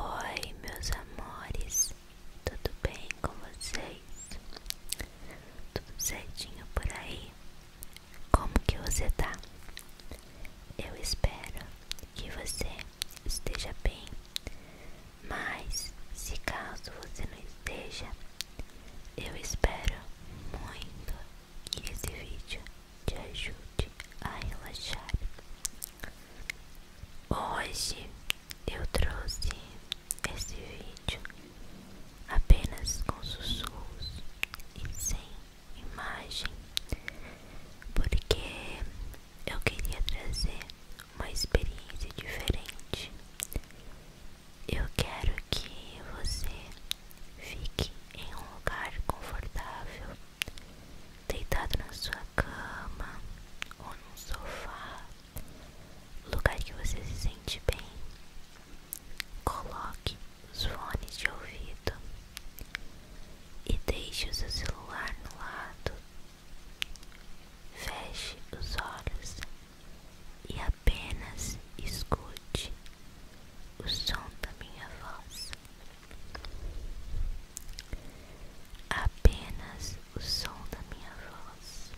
Oi, meus amores, tudo bem com vocês? Tudo certinho por aí? Como que você tá? Eu espero que você esteja bem, mas se caso você não esteja, eu espero muito que esse vídeo te ajude a relaxar Hoje eu trouxe esse vídeo apenas com sussurros e sem imagem, porque eu queria trazer uma experiência diferente. Eu quero que você fique em um lugar confortável deitado na sua cama ou num sofá, lugar que você se sente bem, coloque os fones de ouvido e deixe o celular no lado. Feche os olhos e apenas escute o som da minha voz apenas o som da minha voz.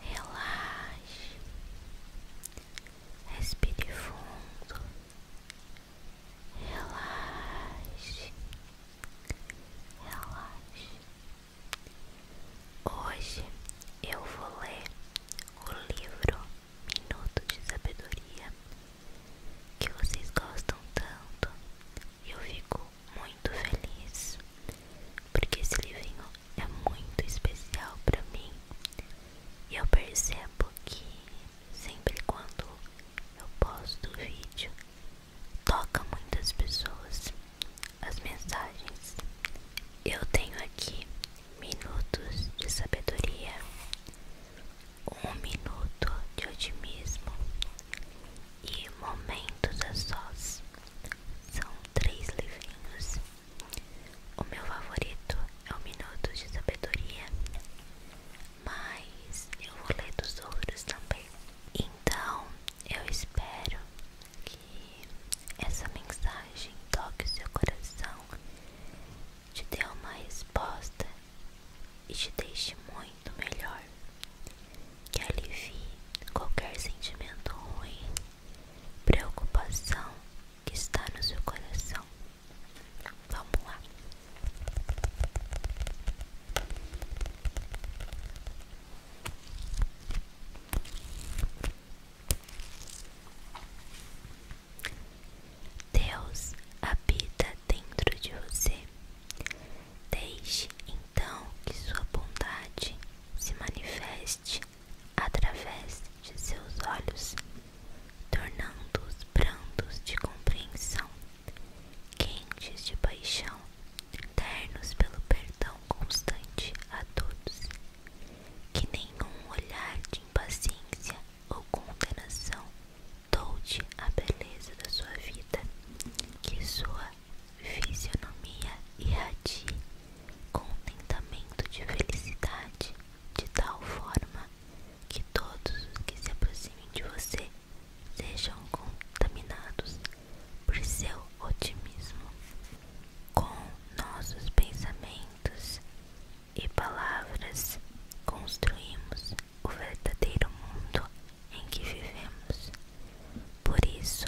Relaxe, respire fundo, relaxe, relaxe. Hoje eu vou ler o livro Minuto de Sabedoria que vocês gostam tanto e eu fico muito feliz porque esse livrinho é muito especial para mim e eu percebo que sempre quando eu posto o vídeo toca muitas pessoas as mensagens. Eu tenho aqui minutos de sabedoria, um minuto de otimismo e momentos a sós. São três livrinhos. O meu favorito é o minuto de Sabedoria, mas eu vou ler dos outros também. Então eu espero essa mensagem toque o seu coração, te dê uma resposta e te deixe muito melhor. Que alivie qualquer sentimento ruim, preocupação que está no seu coração. Vamos lá. Deus habita dentro de você. Deixe então que sua bondade se manifeste através de seus olhos, tornando-os brancos de compreensão, quentes de paixão ternos pelo perdão constante a todos, que nenhum olhar de impaciência ou condenação tolte a beleza da sua vida, que sua fisionomia irradie contentamento de felicidade, de tal forma que todos os que se aproximem de você sejam contaminados por seu otimismo. Com nossos pensamentos e palavras, construímos o verdadeiro mundo em que vivemos. Por isso,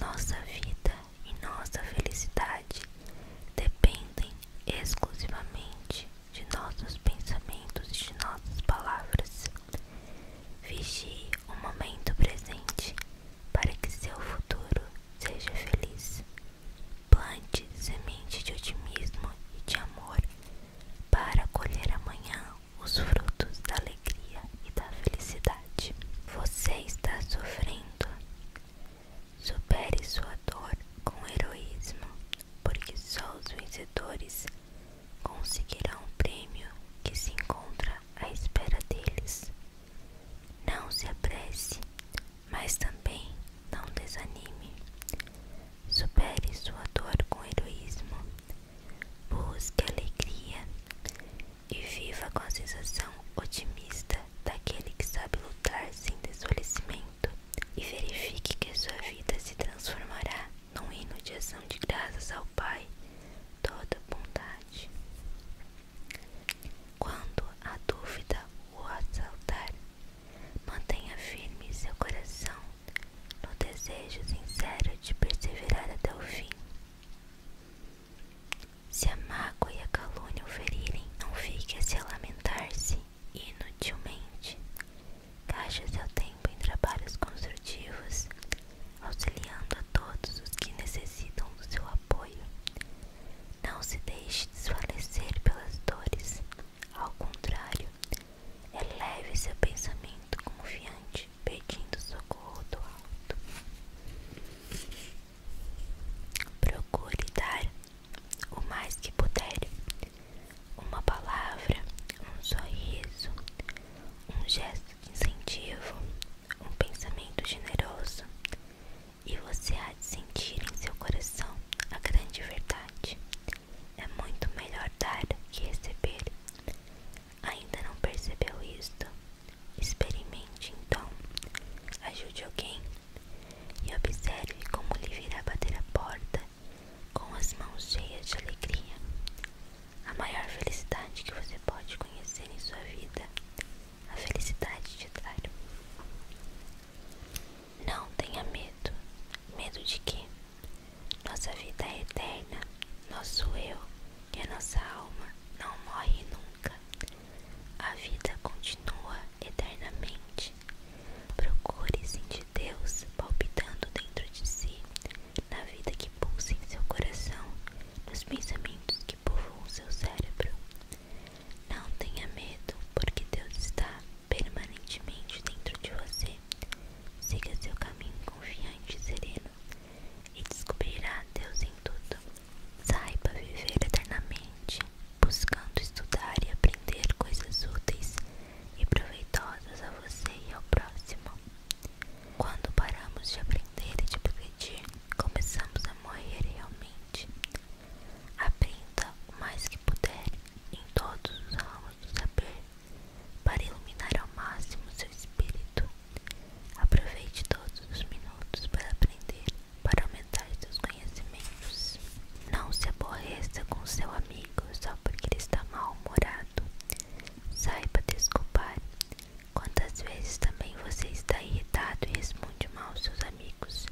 nossa vida e nossa felicidade dependem exclusivamente de nossos pensamentos e de nossas palavras. Vigie o momento presente para que seu futuro seja feliz. Plante semente de otimismo e de amor para colher amanhã os frutos da alegria e da felicidade. Você está sofrendo. Supere sua dor com heroísmo, porque só os vencedores conseguirão o prêmio que se encontra à espera deles. Não se apresse, mas também não desanime. Supere sua dor com heroísmo. Busque alegria e viva com a sensação otimista daquele que sabe lutar sem desfalecimento e verifique que sua vida se transformará num hino de ação de graças ao Pai, toda bondade. Quando a dúvida o assaltar, mantenha firme seu coração no desejo sincero de perseverar até o fim. Se a mágoa e a calúnia o ferirem, não fique a se lamentar-se inutilmente, Gaste seu tempo em trabalhos construtivos, auxiliando a todos os que necessitam do seu apoio. Não se deixe desfalecer pelas dores, ao contrário, eleve seu pensamento confiante, pedindo socorro do alto. Procure dar o mais que puder, uma palavra, um sorriso, um gesto de incentivo, um pensamento generoso, e você há de sentir em seu coração a grande verdade. É muito melhor dar que receber. Ainda não percebeu isto? Experimente então. Ajude alguém e observe como lhe virá bater a porta com as mãos cheias de alegria. A maior felicidade que você pode conhecer em sua vida, a felicidade de dar. Não tenha medo. Medo de quê? Nossa vida é eterna, nosso eu e a nossa alma não morre nunca. A vida continua eternamente. Procure sentir Deus palpitando dentro de si, na vida que pulsa em seu coração, nos pensamentos que povoam seu cérebro. Não tenha medo, porque Deus está permanentemente dentro de você. Siga seu caminho confiante e sereno e descobrirá Deus em tudo. Saiba viver eternamente, buscando estudar e aprender coisas úteis e proveitosas a você e ao próximo. Quando paramos de aprender e de progredir, começamos a morrer realmente. Aprenda o mais que puder em todos os ramos do saber para iluminar ao máximo seu espírito. Aproveite todos os minutos para aprender, para aumentar seus conhecimentos. Não se aborreça com seu amigo só porque ele está mal-humorado. Saiba desculpar. Quantas vezes também você está irritado e responde mal aos seus amigos.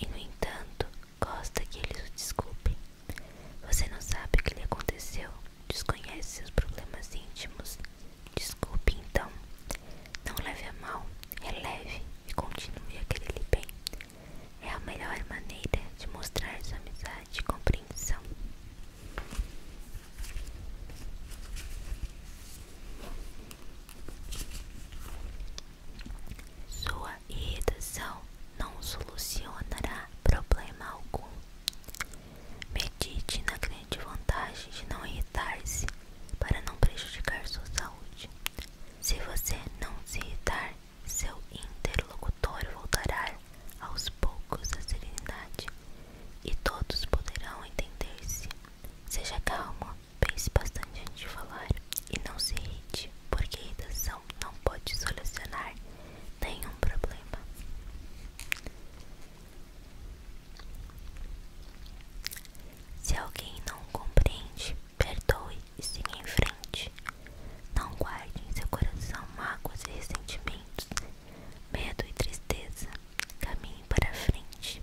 E no entanto, gosta que eles o desculpem. Você não sabe o que lhe aconteceu, desconhece seus problemas íntimos. Desculpe então. Não leve a mal, é leve e continue a querer lhe bem. É a melhor maneira de mostrar sua amizade e compreensão. Sua irritação não solucionará problema algum. Medite na grande vantagem de não irritar-se para não prejudicar sua saúde. Se você não se irritar, seu interlocutor voltará aos poucos à serenidade e todos poderão entender-se. Seja calmo, pense bastante antes de falar e não se irrite, porque a irritação não pode solucionar nenhum problema. Se alguém não compreende, perdoe e siga em frente. Não guarde em seu coração mágoas e ressentimentos, medo e tristeza. Caminhe para frente.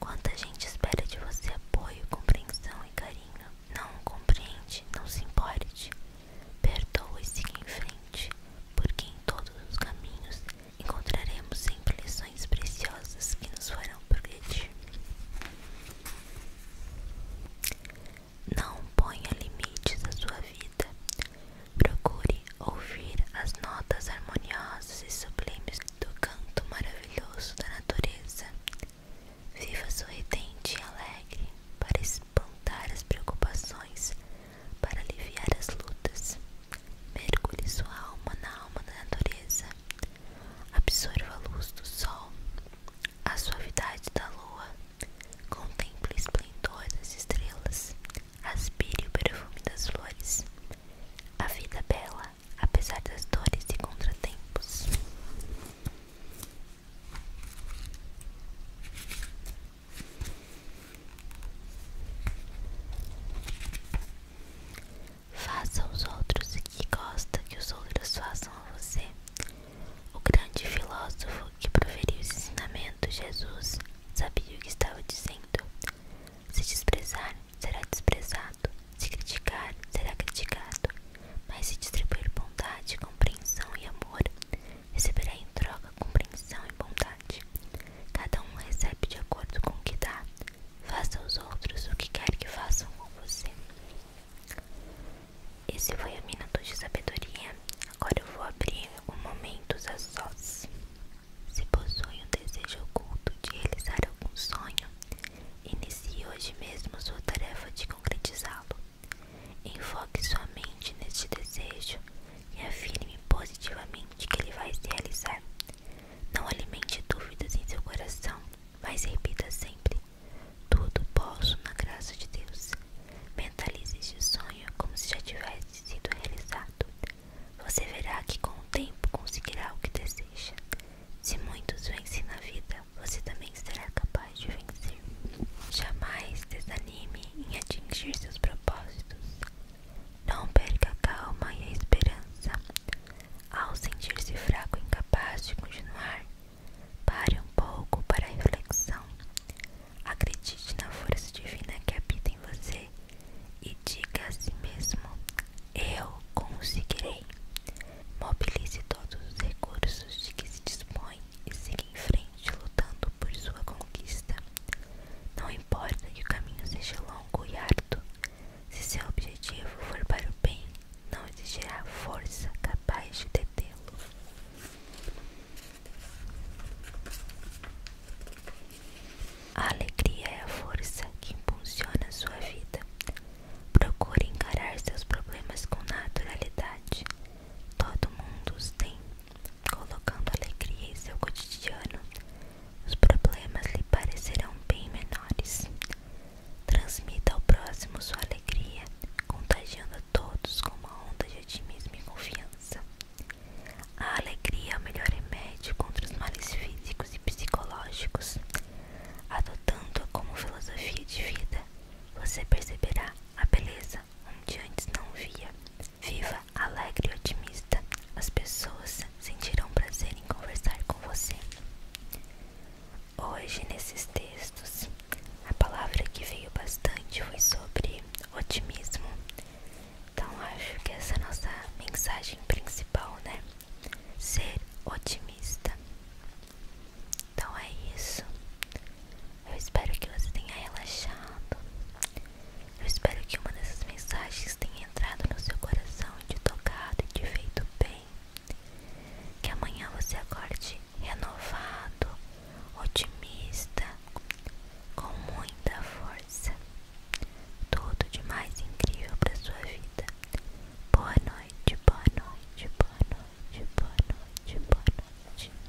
Quanta gente espera de você apoio, compreensão e carinho. Não compreende, não se importe. Perdoa e siga em frente, porque em todos os caminhos encontraremos sempre lições preciosas que nos farão progredir. Não ponha limites à sua vida. Procure ouvir as notas harmoniosas e sublimes do canto maravilhoso da natureza. Viva sorridente e alegre para espantar as preocupações, para aliviar as lutas. Mergulhe sua alma na alma da natureza Absorva a luz do sol, a suavidade da lua, contemple o esplendor das estrelas, aspire o perfume das flores. A vida é bela, apesar das dores e contratempos. Faça aos outros o que gosta que os outros façam a você. O grande filósofo que proferiu esse ensinamento, Jesus, sabia o que estava dizendo. Se desprezar, será desprezado. Se criticar, será criticado. Mas se distribuir bondade, compreensão e amor, receberá em troca compreensão e bondade. Cada um recebe de acordo com o que dá. Faça aos outros o que quer que façam com você. Esse foi o Minuto de Sabedoria. Agora eu vou abrir o momento a Sós. Se possui um desejo oculto de realizar algum sonho, inicie hoje mesmo sua tarefa de concretizá-lo. Enfoque sua mente neste desejo e afirme positivamente que ele vai se realizar. Não alimente dúvidas em seu coração, mas repita sempre: Tudo posso na graça de Deus. Mentalize este sonho como se já tivesse sido realizado. Você verá que com o tempo conseguirá o que deseja. Se muitos vencem na vida, você também será capaz de vencer. Jamais desanime em atingir seus propósitos. Não perca a calma e a esperança. Ao sentir-se fraco e incapaz de continuar, pare um pouco para a reflexão. Acredite na força divina que habita em você e diga a si mesmo: Eu conseguirei. Mobilize todos os recursos de que se dispõe e siga em frente lutando por sua conquista. Não importa que o caminho seja longo e árduo, se seu objetivo for para o bem, não existirá força capaz de detê-lo. A alegria é a força que impulsiona a sua vida. Procure encarar seus problemas com naturalidade. Todo mundo os tem colocando alegria em seu cotidiano, os problemas lhe parecerão bem menores. Transmita ao próximo sua alegria, contagiando a todos com uma onda de otimismo e confiança. A alegria é o melhor remédio contra os males físicos e psicológicos. Adotando-a como filosofia de vida, você perceberá a beleza onde antes não via. Viva alegre e otimista, as pessoas sentirão prazer em conversar com você. Hoje, nesses textos, a palavra que veio bastante foi sobre otimismo. Então, acho que essa é a nossa mensagem principal, né? Ser otimista. Então é isso. Eu espero que você tenha relaxado. Eu espero que uma dessas mensagens tenha entrado no seu coração, te tocado e te feito bem. Que amanhã você acorde renovado, otimista, com muita força. Tudo de mais incrível para sua vida. Boa noite, boa noite, boa noite, boa noite, boa noite.